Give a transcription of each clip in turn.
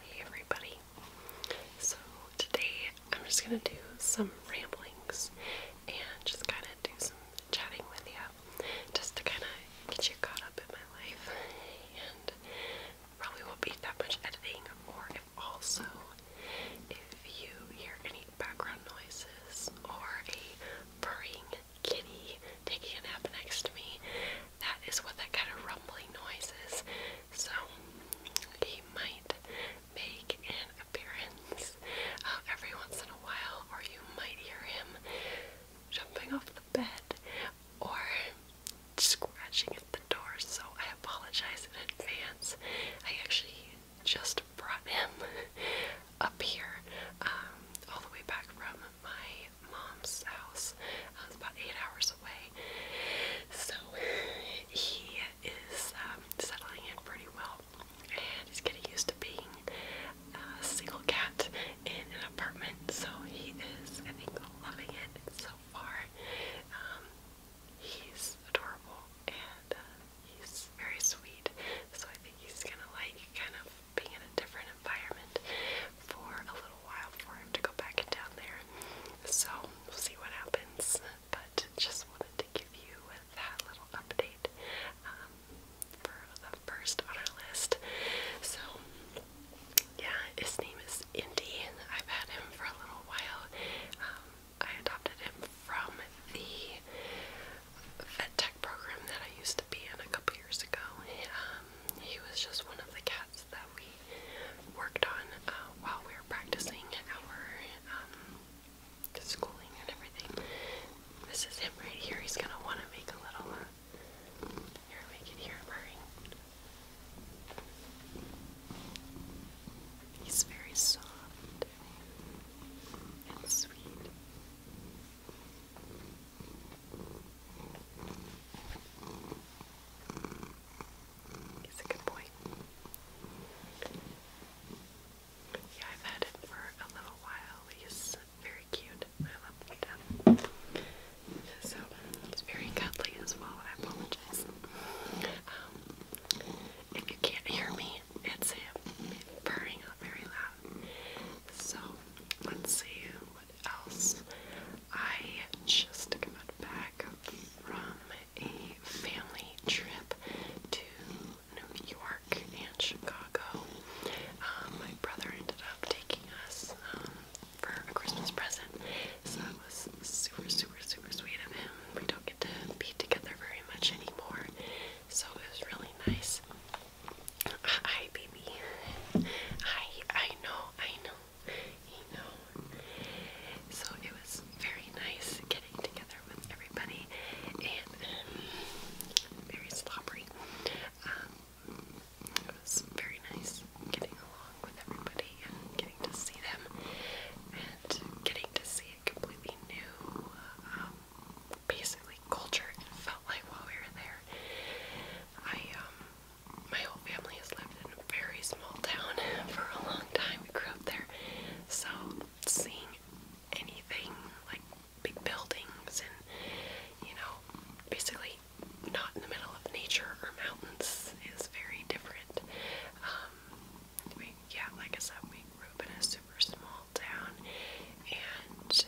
Hey everybody. So today I'm just going to do some ramblings and just kind of do some chatting with you just to kind of get you caught up in my life and probably won't be that much editing or if also if you hear any background noises or a purring kitty taking a nap next to me that is what that kind of rumbling noise is. So he might make an appearance uh, every once in a while, or you might hear him jumping off the bed or scratching at the door. So I apologize in advance. I actually just brought him up here um, all the way back from my mom's house. Uh, I was about eight hours away. So he is um, settling in pretty well. And he's getting used to being a single cat in an apartment. So he is, I think, loving it so far. Um, he's adorable and uh, he's very sweet. So I think he's gonna like kind of being in a different environment for a little while for him to go back down there. So we'll see what happens. But just wanted to give you that little update um, for the first on our list. So yeah, his name is Indy. I've had him for a little while. Um, I adopted him from the vet tech program that I used to be in a couple years ago. Uh, he was just one of the cats that we worked on uh, while we were practicing our um, schooling and everything. This is him right here. He's gonna want to make a little. Uh, here, we can He's very soft and sweet. He's a good boy. Yeah, I've had him for a little while. He's very cute. I love him So he's very cuddly as well. I apologize. Um, if you can't hear me, it's him purring up very loud. So let's see else. I just got back from a family trip to New York and Chicago. Um, my brother ended up taking us um, for a Christmas present, so that was super, super, super sweet of him. We don't get to be together very much anymore, so it was really nice. Hi, baby. Hi, I know, I know you know. So it was very nice getting together with everybody and um, very slobbery. Um, it was very nice getting along with everybody and getting to see them and getting to see a completely new, um, basically culture. It felt like while we were there, I um, my whole family has lived in a very small town for a long time. We grew up there. So seeing anything like big buildings and, you know, basically not in the middle of nature or mountains is very different. Um, we, yeah, like I said, we grew up in a super small town and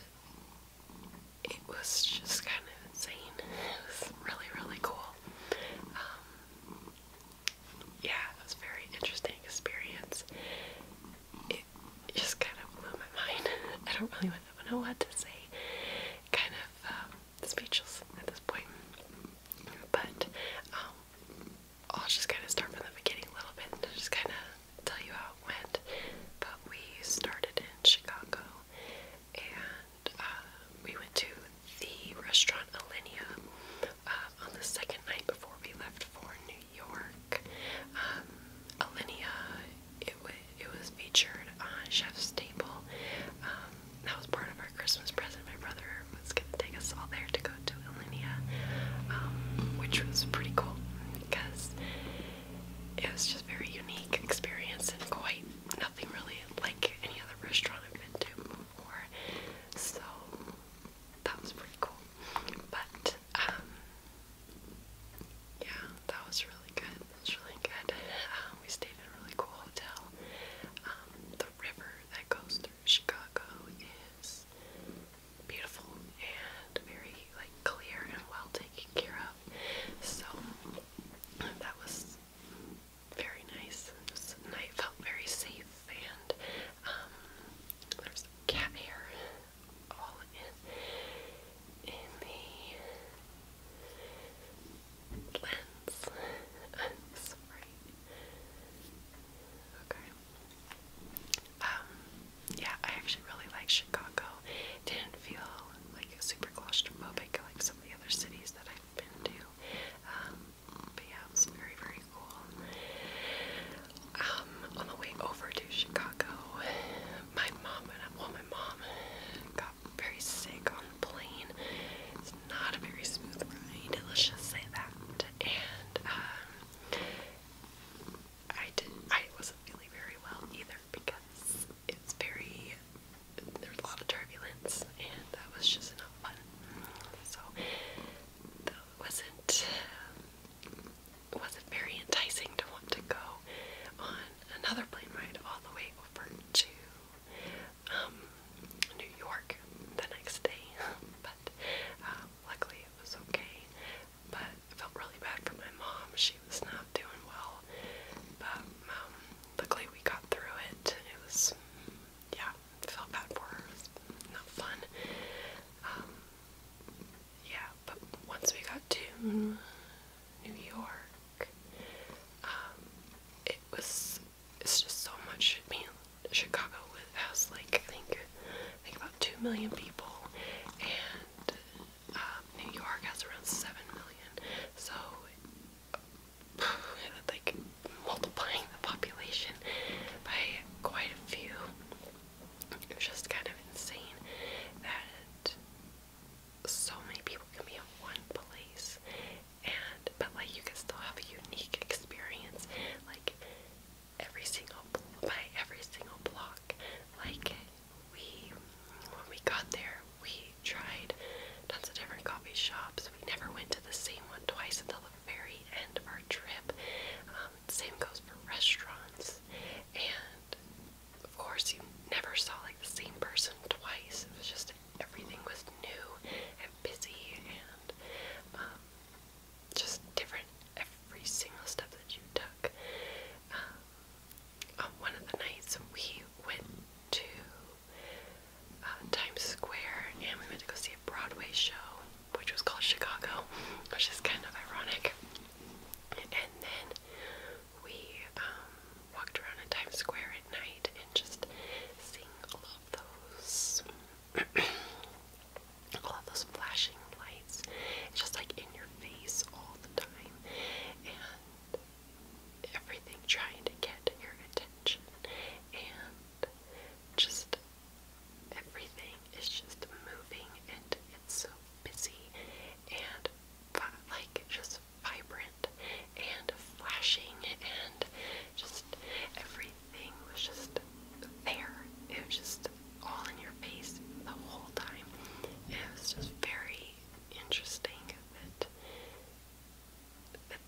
it was just kind of insane. It was really, really cool. Um, yeah, it was a very interesting experience. It just kind of blew my mind. I don't really know what to say. Kind of um, speechless at this point. But um, I'll just kind of start from the beginning a little bit and just kind of tell you how it went. But we started in Chicago and uh, we went to the restaurant Alinea uh, on the second night before we left for New York. Um, it, it was featured on Chef's Table. Um, that was part of our Christmas present. My brother was going to take us all there to go to Alinea, um, which was pretty cool because it was just very unique experience and quite nothing really like any other restaurant I've been to before, so that was pretty cool. But um, yeah, that was really good. It really good. Um, we stayed in a really cool hotel. Um, the river that goes through Chicago is beautiful and very like clear and well taken care of. So that was very nice. This night felt very safe, and um, there's cat hair all in in the lens. I'm sorry. Okay. Um. Yeah, I actually really like Chicago. Didn't feel like super claustrophobic. Like so the other cities that I've been to. Um, but yeah, it was very, very cool. Um, on the way over to Chicago, my mom and I, well, my mom got very sick on the plane. It's not a very smooth ride, let's just say that. And um, I didn't, I wasn't feeling very well either because it was very there was a lot of turbulence and that was just not fun. So that wasn't it wasn't very enticing to want to go on another plane ride all the way over to um, New York the next day. but uh, luckily it was okay. But felt really bad for my mom. She was not not doing well. But um, luckily we got through it. It was, yeah, felt bad for her. It was not fun. Um, yeah, but once we got to New York, um, it was, it's just so much. I mean, Chicago has like, I think, I think about 2 million people, and um, New York has around 7 million. So like multiplying the population by quite a few. It was just kind of insane that so many people can be in one place and but like you can still have a unique experience like every single by every single block like we when we got there we tried tons of different coffee shops. We never went to the same one twice until the very end of our trip. Um, same goes for restaurants. And of course, you never saw like the same person twice. It was just everything was new and busy and um, just different every single step that you took. Um, one of the nights, we went to uh, Times Square and we went to go see a Broadway show, which was called Chicago, which is kind of ironic. And then we um, walked around in Times Square at night and just seeing all of those, all of those flashing lights, it's just like in your face all the time. And everything trying to get your attention, and just everything is just moving, and it's so busy and like just vibrant and flashing, and just everything was just there. It was just all in your face the whole time. And it was just very interesting that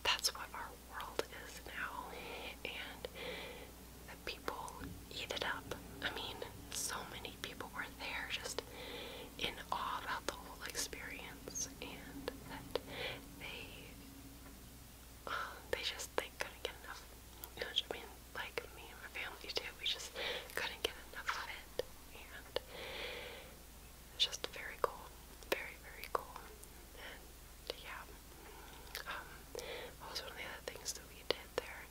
that's what our world is now, and the people eat it up. I mean, so many people were there just in awe about the whole experience, and that they uh, they just they couldn't get enough. You know what I mean? Like me and my family too, we just couldn't get enough of it, and it's just very cool, very very cool. And yeah, um, what was one of the other things that we did there?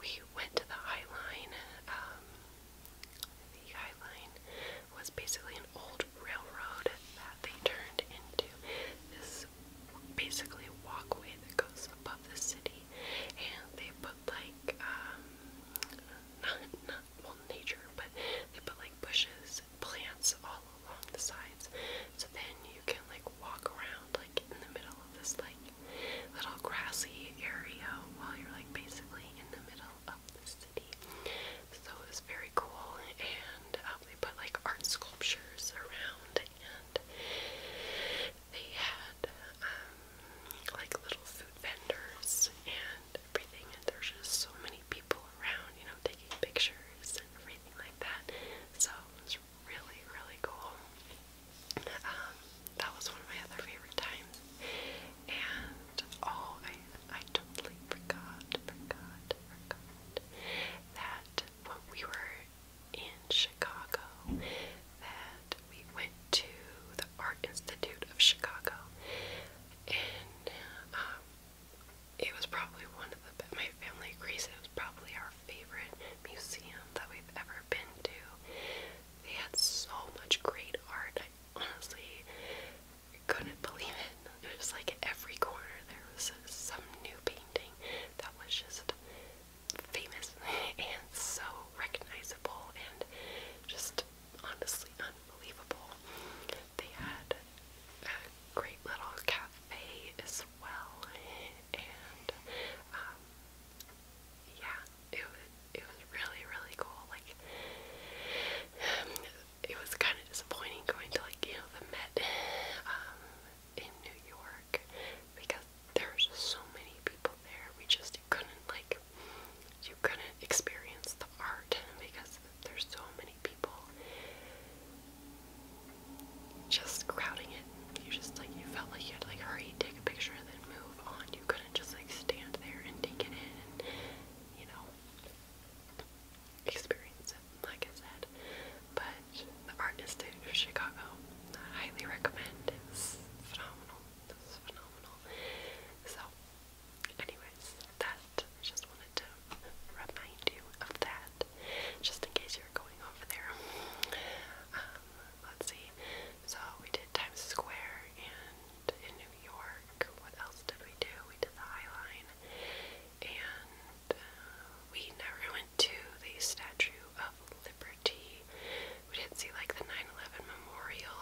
We went to the High Line. Um, the High Line was basically an old railroad that they turned into this basically walkway that goes above the city, and they put like um, not, not well, nature, but they put like bushes, plants all along the sides. So then you can like walk around like in the middle of this like little grassy area while you're like basically in the middle of the city. So it was very cool, and um, they put like art sculptures around, and they had um, like little food vendors and and everything, and there's just so many people around, you know, taking pictures and everything like that. So it's really, really cool. Um, that was one of my other favorite times. And oh, I I totally forgot, forgot, forgot that when we were in Chicago, that we went to the Art Institute of Chicago, and uh, it was probably one of the my family agrees it was probably our favorite museum that we've ever been to. They had so much great art. I honestly couldn't believe it. It was like every corner there was some new painting that was just famous and so recognizable and just honestly unbelievable. They had a great little cafe as well, and um, yeah, it was it was really really cool. Like um, it was kind of disappointing going to like you know the Met um, in New York because there were just so many people there. We just couldn't like you couldn't experience the art because there's so many people just crowding it. You just like you felt like you had to like hurry, take a picture, and then move on. You couldn't just like stand there and take it in and you know experience it, like I said. But the Art Institute of Chicago, I highly recommend. It's phenomenal. It's phenomenal. So Anyways, that I just wanted to remind you of that, just in case you're going over there. Um, let's see. So we did Times Square and in New York. What else did we do? We did the High Line, and uh, we never went to the Statue of Liberty. We didn't see like the 9/11 memorial.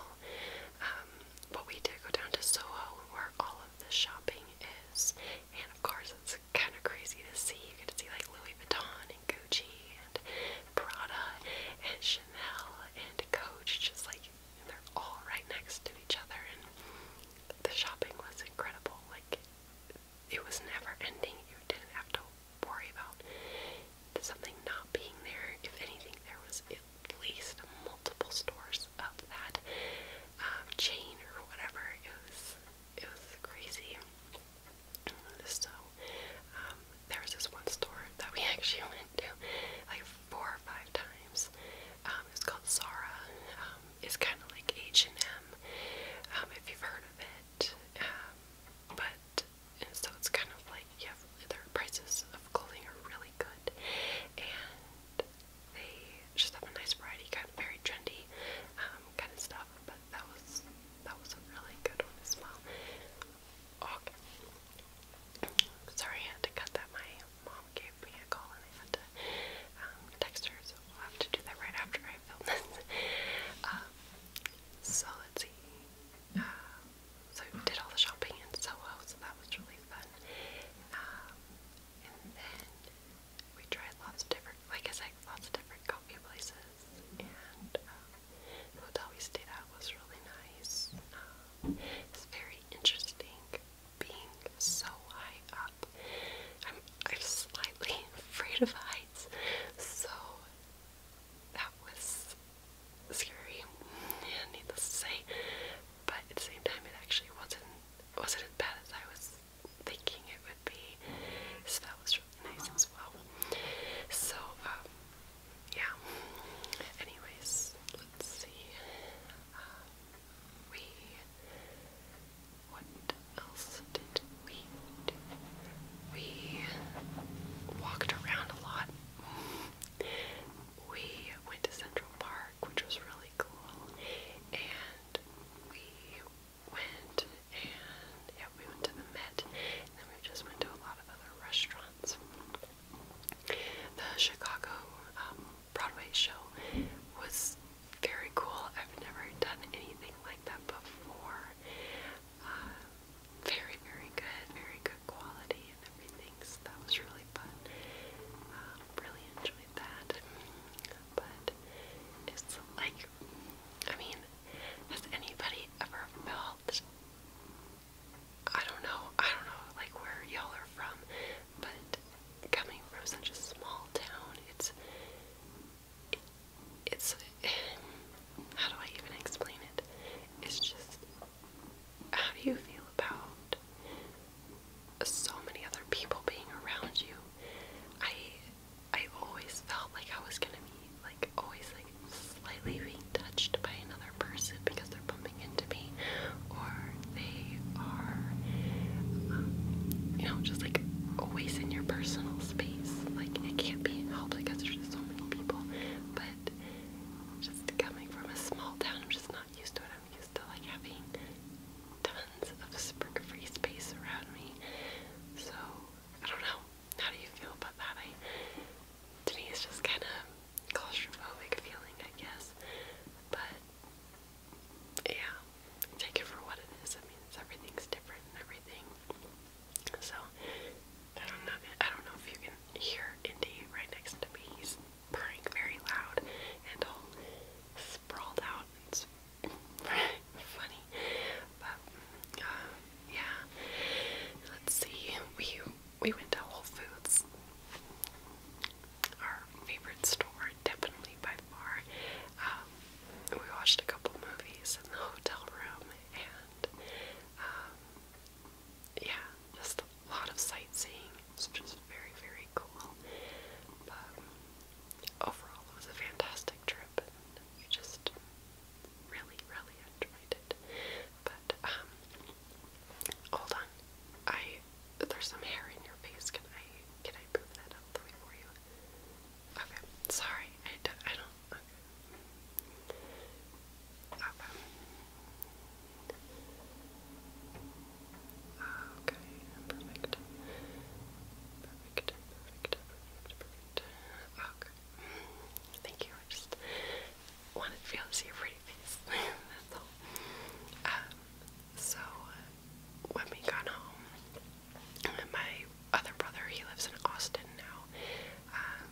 but um, we did go down to Soho, where all of the shopping is. And of course, it's kind of crazy to see. You get to see like Louis Vuitton and Gucci and Prada and Chanel and Coach, just like and they're all right next to each other. And the shopping was incredible. Like it was never ending. You didn't have to worry about something not being there. If anything, there was at least multiple stores because of that um, chain or whatever. It was it was crazy. So um, there was this one store that we actually went to like four or five times. Um, it's called Zara. Um, it's kind of like H and M, um, if you've heard of it. Um, but and so it's kind of like you have their prices of clothing are really good, and they just have a nice variety, kind of very trendy um, kind of stuff. But that was that was a really good one as well. Okay. Sorry, I had to cut that. My mom gave me a call and I had to um, text her, so we'll have to do that right after I film this. Um, so let's see. Uh, so we did all the shopping in Soho, so that was really fun. And then we tried lots of different, like I said, lots of different coffee places. And um, the hotel we stayed at was really nice. Um, it's very interesting being so high up. I'm, I'm slightly afraid of heights, so that was scary, yeah, needless to say. But at the same time, it actually wasn't wasn't as bad as I was thinking it would be. So that was really nice as well. So, um, yeah. Anyways, let's see. Uh, we. What else did we do? We walked around a lot. We went to Central Park, which was really really cool. And we went and yeah, we went to the Met and then we just went to a lot of other restaurants. The Chicago um, Broadway show was very cool. I've never done anything like that before. Uh, very, very good, very good quality and everything. So that was really fun. Um, really enjoyed like that. But it's like, I mean, has anybody ever felt? I don't know, I don't know, like where y'all are from, but coming from such a small town, it's, it, it's, how do I even explain it? It's just, how do you feel about so many other people being around you. I I always felt like I was gonna be like always like slightly being touched by another person because they're bumping into me or they are um, you know just like always in your personal space. Like it can't be helped because there's so many people. But just coming from a small town, I'm just not used to it. I'm used to like having tons of spring free space around me. So I don't know. How do you feel about that? I to it's just kind of claustrophobic feeling, I guess. But yeah, take it for what it is. I mean, everything's different everything. So I don't know. I don't know if you can hear Indy right next to me purring very loud and all sprawled out. It's funny, but uh, yeah. Let's see. We we went to Whole Foods, our favorite store, definitely by far. Um, we watched a couple movies in the hotel room and um, yeah, just a lot of sightseeing was just very, very cool. But overall, it was a fantastic trip, and just really, really enjoyed it. But um, hold on, I there's some hair in your face. Can I can I move that out the way for you? Okay, sorry, I don't. Okay, perfect. Perfect, perfect, perfect, perfect. Okay. Thank you. I just wanted to be to see your pretty face. That's all. Um, so, uh, when we got home, my other brother, he lives in Austin now. Um,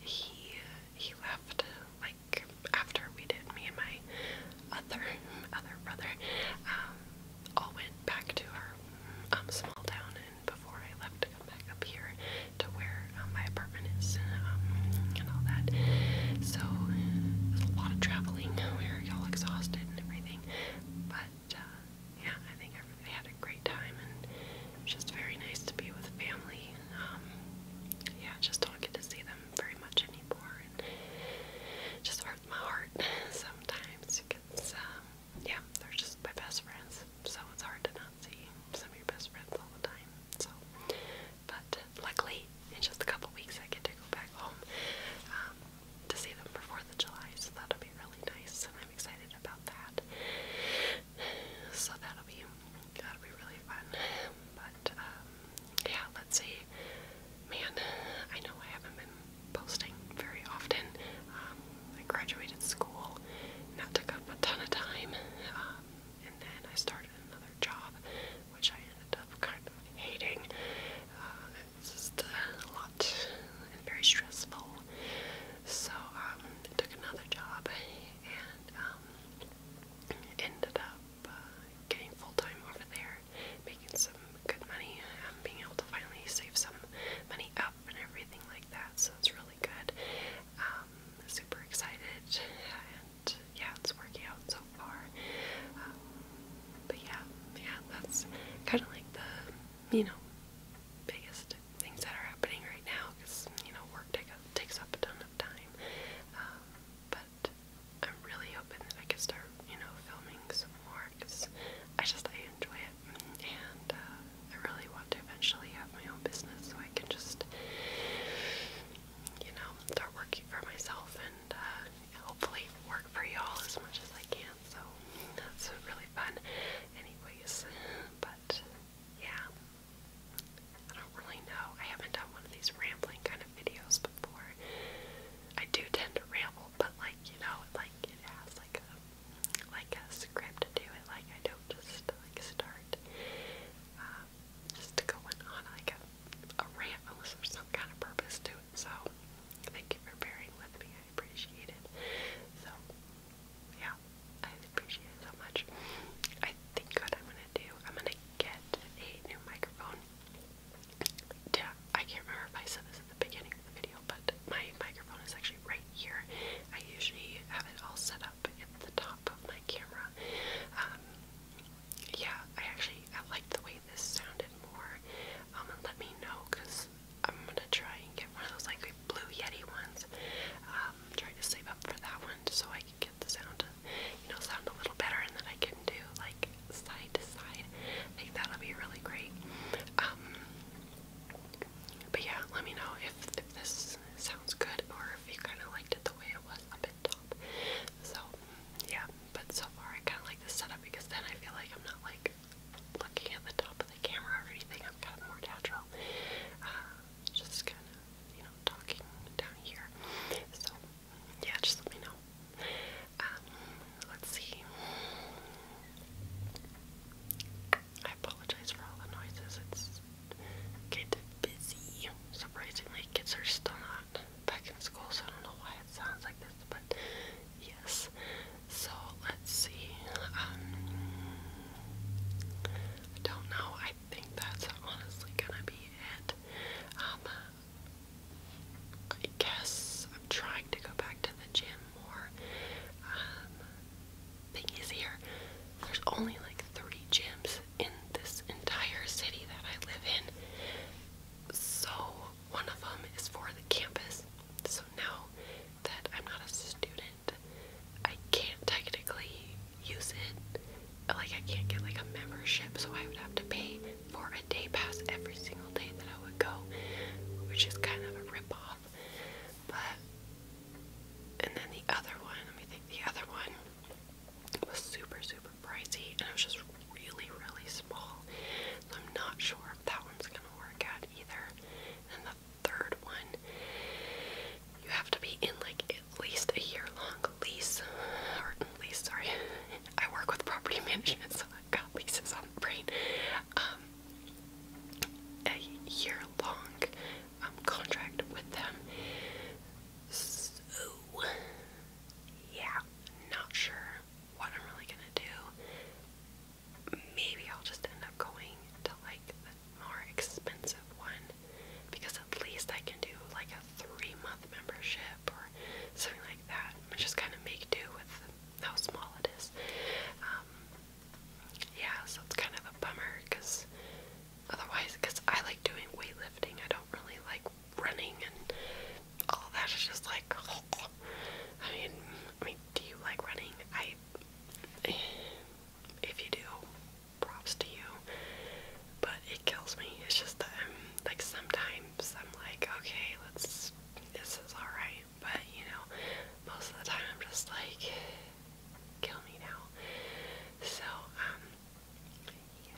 he he left like after we did me and my other other brother um, all went back to our um, small town, and before I left to come back up here to where um, my apartment is and, um, and all that. So there's a lot of traveling. We were all exhausted and everything, but. Uh, yeah, I think I really had a great time, and it's just very nice to be with family. Um, yeah, just don't get to see them very much anymore, and it just hurts my heart sometimes because, um, yeah, they're just my best friends, so it's hard to not see some of your best friends all the time. So, but luckily, in just a couple weeks, I get to go back home um, to see them for Fourth of July, so that'll be really nice, and I'm excited about that. So that'll be that'll be really fun. But um, yeah, let's see Man, I know I haven't been posting very often. Um, I graduated school, and that took up a ton of time, um, and then I started another job, which I ended up kind of hating. Uh, it's just a lot and very stressful. So um, I took another job and um, ended up uh, getting full time over there making some good money, um, being able to finally save some money up and everything like that. So it's really good. Um, super excited, and yeah, it's working out so far. Um, but yeah, yeah, that's kind of like the you know biggest things that are happening right now because you know work take up, takes up a ton of time. Um, but I'm really hoping that I can start, you know, filming some more because I just I enjoy it, and uh, I really want to eventually have my own business so I can just, you know, start working for myself and uh, hopefully work for y'all as much as I can. So that's really fun, anyways. But yeah, I don't really know. I haven't done one of these rambling kind of videos before. I do tend to ramble, but like you know, like it has like a like a script to it. Like I don't just like start um, just going on like a a rant unless there's some kind of purpose to it. So thank you for bearing with me. I appreciate it. So yeah, I appreciate it so much. I think God I'm gonna do, I'm gonna get a new microphone yeah, I can't remember if I said this at the beginning of the video, but my microphone is actually right here. I usually have it all set up at the top of my camera. Um, yeah, I actually I like the way this sounded more. Um, let me know because I'm gonna try and get one of those like blue Yeti ones. Um, to save up for that one so I can get the sound, you know, sound a little better, and then I can do like side to side. I think that'll be really great. Um, but yeah, let me know if, this sounds good or if you kind of liked it the way it was up at top. So yeah, but so far I kind of like this setup because then I feel like I'm not like looking at the top of the camera or anything. I'm kind of more natural. Uh, just kind of, you know, talking down here. So yeah, just let me know. Um, let's see. I apologize for all the noises. It's get busy. Surprisingly, kids are still not back in school, so I don't know why it sounds like this, but yes. So let's see. Um, I don't know. I think that's honestly gonna be it. Um, I guess I'm trying to go back to the gym more. Um, thing is, here, there's only like three gyms in this entire city that I live in. So, one of them is for the campus. So, now that I'm not a student, I can't technically use it. Like, I can't get like a membership, so I would have to pay for a day pass every single day that I would go, which is kind of a ripoff. But and then the other one, let me think. The other one was super super pricey, and it was just really really small. So I'm not sure if that one's gonna work out either. And then the third one, you have to be in like at least a year long lease, or lease. Sorry, I work with property management, so I've got leases on brain, um, a year long um, contract with them. So, yeah, not sure what I'm really gonna do. Maybe I'll just end up going to like more expensive one because at least I can do like a three month membership or something like that. just kind of make do with how small it is. Um, yeah, so it's kind of a bummer because otherwise, because I like doing weightlifting, I don't really like running and all that. It's just like, I mean, I mean, do you like running? I, if you do, props to you. But it kills me. It's just that I'm um, like sometimes I'm like, okay, let's this is alright, but you know, most of the time I'm just like, kill me now. So, um, yeah,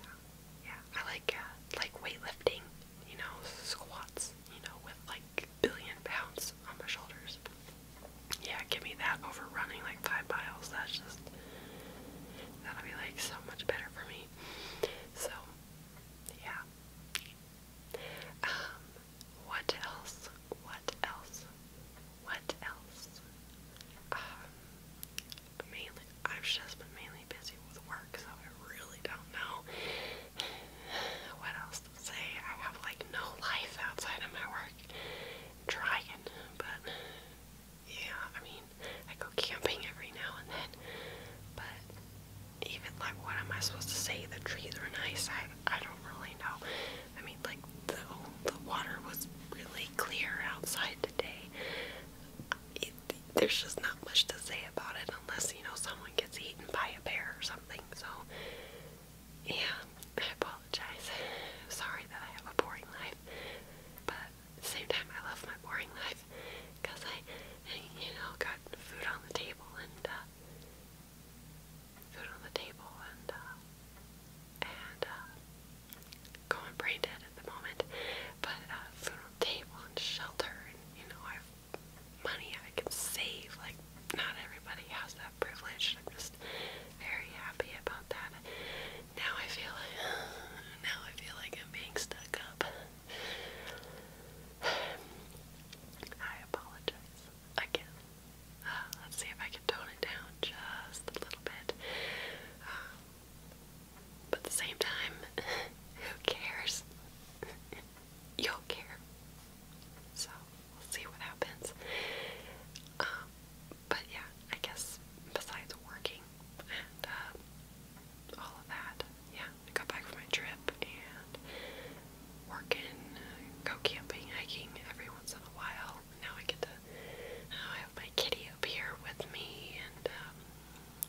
yeah, I like, uh, like weightlifting, you know, squats, you know, with like billion pounds on my shoulders. Yeah, give me that over running like five miles, that's just, that'll be like so much better for me. So, yeah, um, what else? What else? What else? Um, mainly, I've just been mainly busy with work, so I really don't know what else to say. I have like no life outside of my work. trying, but yeah, I mean, I go camping every now and then, but even like what am I supposed to say? The trees were nice. I I don't really know. I mean like the the water was really clear outside today. there's just not much to say about it unless you know someone gets eaten by a bear or something. So yeah, I apologize. sorry that I have a boring life, but same time I love my boring life because I, you know, go got food on the table and uh, food on the table and uh, and uh, going brain dead at the moment, but uh, food on the table and shelter and you know I have money I can save. Like not everybody has that privilege. I'm just very happy about that. Now I feel like now I feel like I'm being stuck up. I apologize again. Uh, let's see if I can tone it down just a little bit. Um, but at the same time, who cares? You'll care. So we'll see what happens. Um, but yeah, I guess besides working and uh, all of that, yeah, I got back from my trip and working, go camping, hiking every once in a while. Now I get to, now I have my kitty up here with me, and um,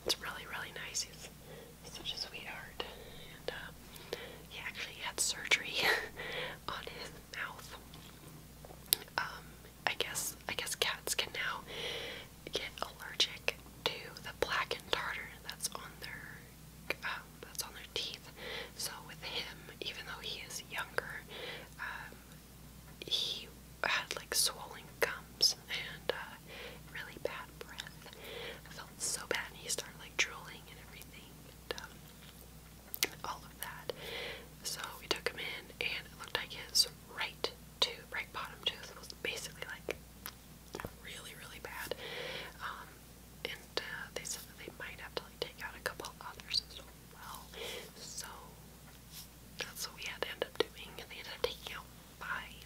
it's really, really nice. He's such a sweetheart. And uh, he actually had surgery on his mouth. Um, I guess I guess cats can now get allergic to the black and tartar that's on their um, that's on their teeth. So with him, even though he is younger, um, he had like swollen gums and uh, really bad breath. I felt so bad. And he started like drooling and everything, and um, all of that. So we took him in, and it looked like his right tooth, right bottom tooth, was basically like really, really bad. Um, and uh, they said that they might have to like take out a couple others as well. So that's what we had to end up doing. And they ended up taking out five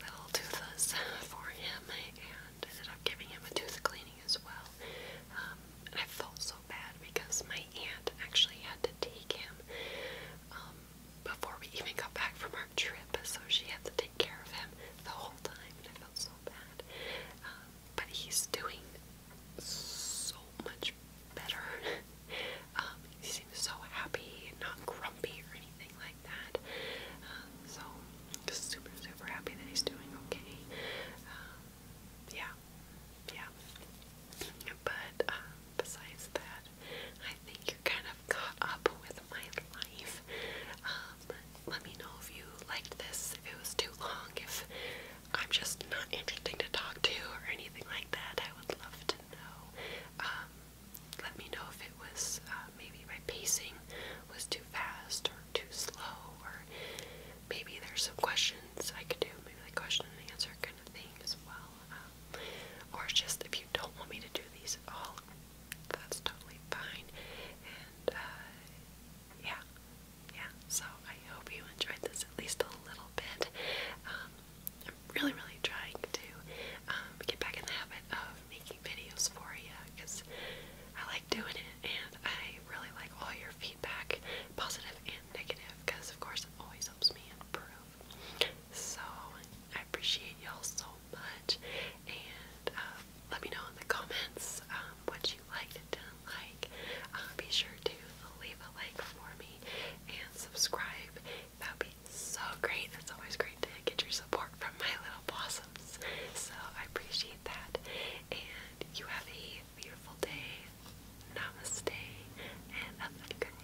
little toothas for him and ended up giving him a tooth cleaning as well. Um, and I felt so bad because my aunt actually had to take him um, before we even got back from our trip, so she had to care of him the whole time, and I felt so bad. Um, but he's doing so much better. Um, he seems so happy, not grumpy or anything like that. Um, so super, super happy that he's doing okay. yeah, yeah. But uh, besides that, I I think you're kind of caught up with my life. Um, let me know if you liked this, if it was too long, if I'm just not interesting to talk to or anything like that. I would love to know. Um, let me know if it was uh, maybe my pacing was too fast or too slow, or maybe there's some questions I could do, maybe like question and answer kind of thing as well. Um, or just if you don't want me to do these all that's totally fine. And uh, yeah, yeah. So I hope you enjoyed this at least a little bit. Um, I'm really, really trying to um, get back in the habit of making videos for you because I like doing it, and I really like all your feedback, positive and negative, because of course it always helps me improve. So I appreciate y'all so much and um, let me know in the comments um, what you liked didn't like. Uh, be sure to leave a like for me and subscribe. That would be so great. It's always great to get your support from my little blossoms. So I appreciate that. And you have a beautiful day. Namaste. And I love you guys.